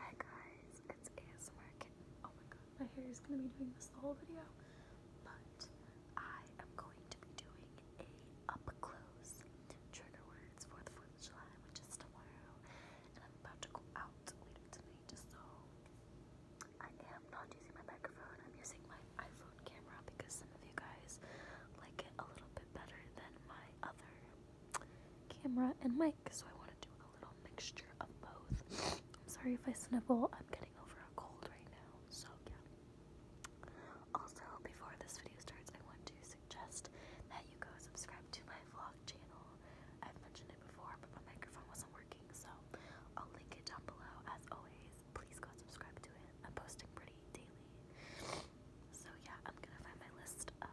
Hi guys, it's ASMR Oh my god, my hair is going to be doing this the whole video. But I am going to be doing a up-close trigger words for the 4th of July, which is tomorrow. And I'm about to go out later tonight, so I am not using my microphone. I'm using my iPhone camera because some of you guys like it a little bit better than my other camera and mic sick, I want to do a little mixture of both. I'm sorry if I snivel. I'm getting over a cold right now, so yeah. Also, before this video starts, I want to suggest that you go subscribe to my vlog channel. I've mentioned it before, but my microphone wasn't working, so I'll link it down below. As always, please go subscribe to it. I'm posting pretty daily. So yeah, I'm gonna find my list of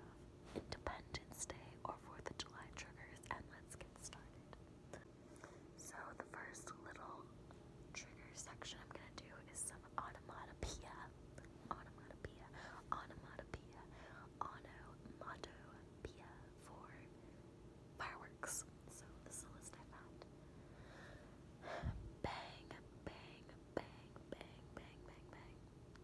Independence Day or 4th of July triggers and let's get started. So the first little trigger section I'm gonna do is some onomatopoeia. Onomatopoeia. Onomatopoeia. Onomatopoeia for fireworks. So this is the list I found. Bang, bang, bang, bang, bang, bang, bang.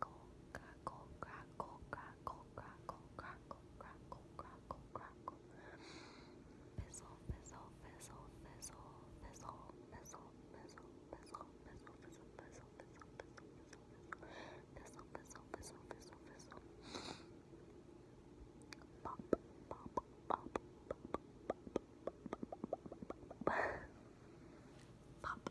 crackle, crackle, crackle, crackle, crackle, crackle, crackle, crackle, crackle. Fizzle, fizzle, fizzle, fizzle, fizzle, fizzle, fizzle, fizzle, fizzle, fizzle, fizzle, fizzle, fizzle, fizzle, fizzle, fizzle, fizzle, fizzle. Pop, pop, pop, pop, pop, pop. Pop.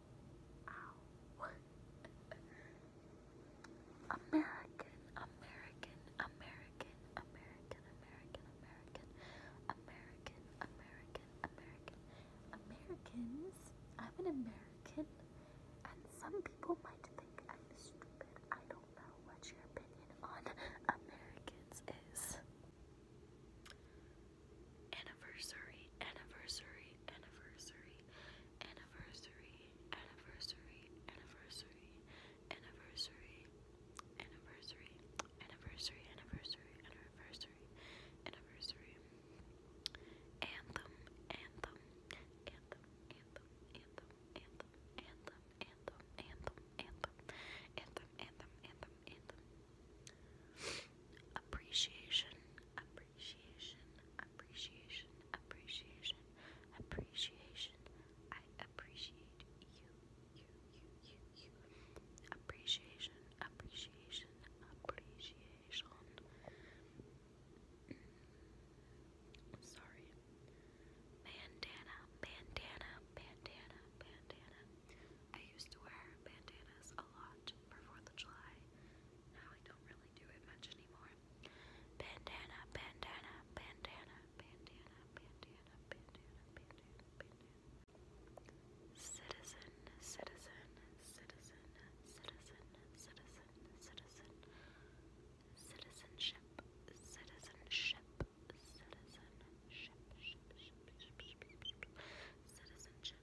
American, American, American, American, American, American, American, American, American, Americans. I'm an American, and some people might think I'm stupid. I don't know what your opinion on Americans is anniversary, anniversary, anniversary, anniversary, anniversary, anniversary, anniversary, anniversary, anniversary, anniversary, anniversary, anniversary, anthem, anthem, anthem, anthem, anthem, anthem, anthem, anthem, anthem, anthem, anthem, anthem, anthem, anthem. Appreciation, appreciation, appreciation, appreciation, appreciation, appreciation. I appreciate you, you, you, you, you. Appreciation, appreciation, appreciation. Mm. sorry. Bandana, bandana, bandana, bandana. I used to wear bandanas a lot gift for 4th of July. Now I don't really do it much anymore. Bandana, bandana, bandana, bandana, bandana, bandana, bandana, bandana. Citizen, citizen, citizen, citizen, citizen, citizen. Citizenship, citizenship, citizenship, ship, ship, ship, ship, ship, ship, ship. citizenship.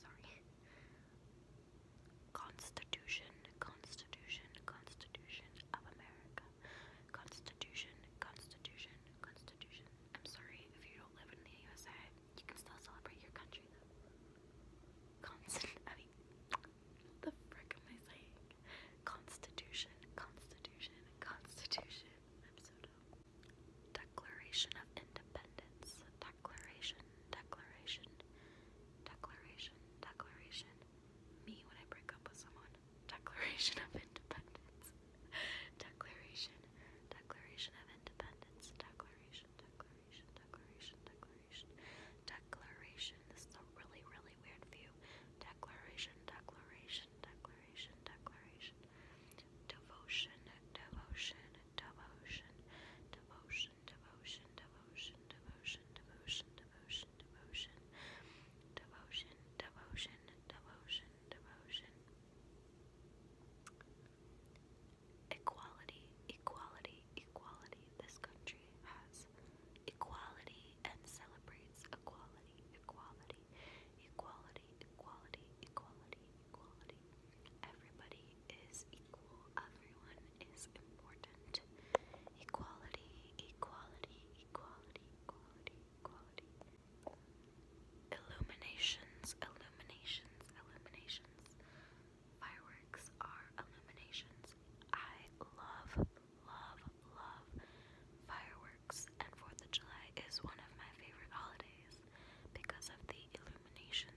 sorry. Constitution, Constitution, Constitution of America. Constitution, Constitution, Constitution. I'm sorry if you don't live in the USA, you can still celebrate your country though. I mean, the frick am I saying? Constitution, Constitution, Constitution. I'm so dumb. Declaration of Independence. Declaration, declaration, declaration, declaration. Me when I break up with someone. Declaration of Independence. declaration, declaration of Independence. Declaration, declaration, declaration, declaration. Declaration. This is a really, really weird view. Declaration, declaration, declaration, declaration devotion, devotion, devotion, devotion, devotion, devotion, devotion, devotion, devotion, devotion, devotion, devotion, devotion, devotion. Equality, equality, equality. This country has equality and celebrates equality, equality, equality, equality, equality, equality. Everybody is equal. Everyone is important. Equality, equality, equality, equality, equality. Illuminations, illuminations, illuminations. Fireworks are illuminations. I love, love, love fireworks, and 4th of July is one of my favorite holidays because of the illuminations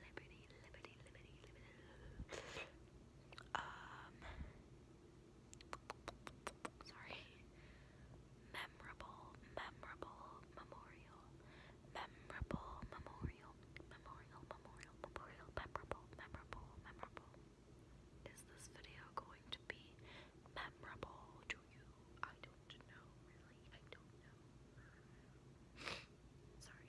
Liberty, liberty, liberty, liberty. Um. Sorry. Memorable, memorable memorial. Memorable memorial. Memorial, memorial, memorial. Memorable, memorable, memorable. Is this video going to be memorable to you? I don't know, really. I don't know. Sorry.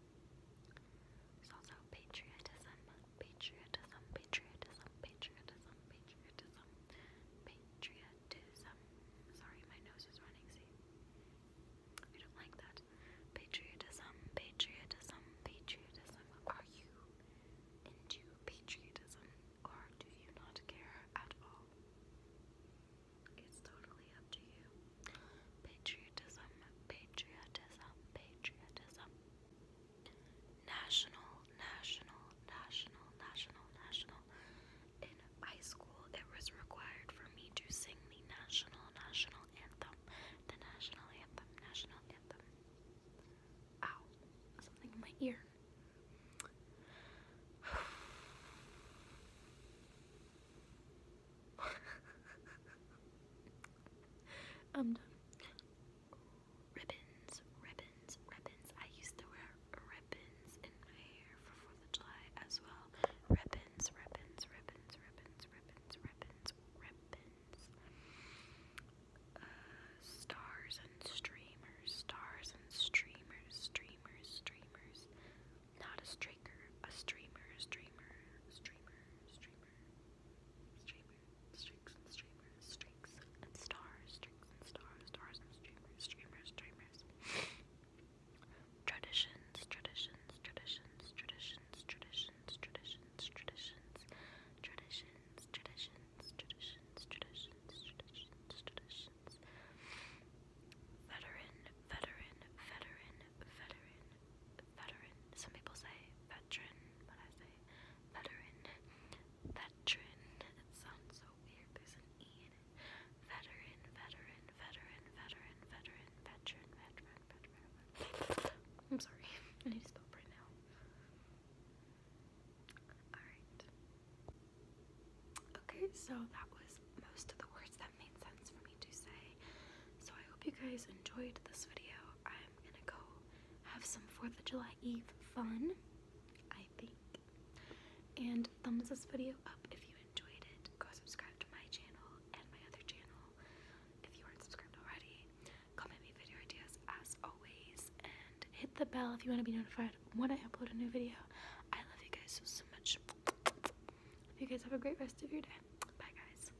there's also patriotism, patriotism, patriotism, patriotism, patriotism, patriotism. Sorry, my nose is running, see? I don't like that. Patriotism, patriotism, patriotism. Are you into patriotism or do you not care at all? It's totally up to you. Patriotism, patriotism, patriotism, national, national, national, national, national. In high school, it was required for me to sing the national, national anthem. The national anthem, national anthem. Ow, something in my ear. I'm um, done. Ribbons, ribbons, ribbons. I used to wear ribbons in my hair for 4th of July as well. Ribbons, ribbons, ribbons, ribbons, ribbons, ribbons, ribbons. Uh, stars and streamers, stars and streamers, streamers, streamers. Not a streaker, a streamer, streamer, streamer, streamer, streamer streaks and streamers, streaks and stars, streaks and stars, stars and streamers, streamers, streamers. Traditions, traditions, traditions, traditions, traditions, traditions, traditions, traditions, traditions, traditions, traditions, traditions, traditions. Veteran, veteran, veteran, veteran, veteran. Some people say veteran, but I say veteran. Veteran. It sounds so weird. There's an E in it. Veteran, veteran, veteran, veteran, veteran, veteran, veteran, veteran. I'm sorry. I need to stop right now. Alright. Okay, so that was most of the words that made sense for me to say. So I hope you guys enjoyed this video. I'm gonna go have some 4th of July Eve fun, I think. And thumbs this video up if you enjoyed it. Go subscribe to my channel and my other channel if you aren't subscribed already. Comment me video ideas as always. And hit the bell if you want to be notified when I upload a new video. I love you guys so, so much. You guys have a great rest of your day. Bye, guys.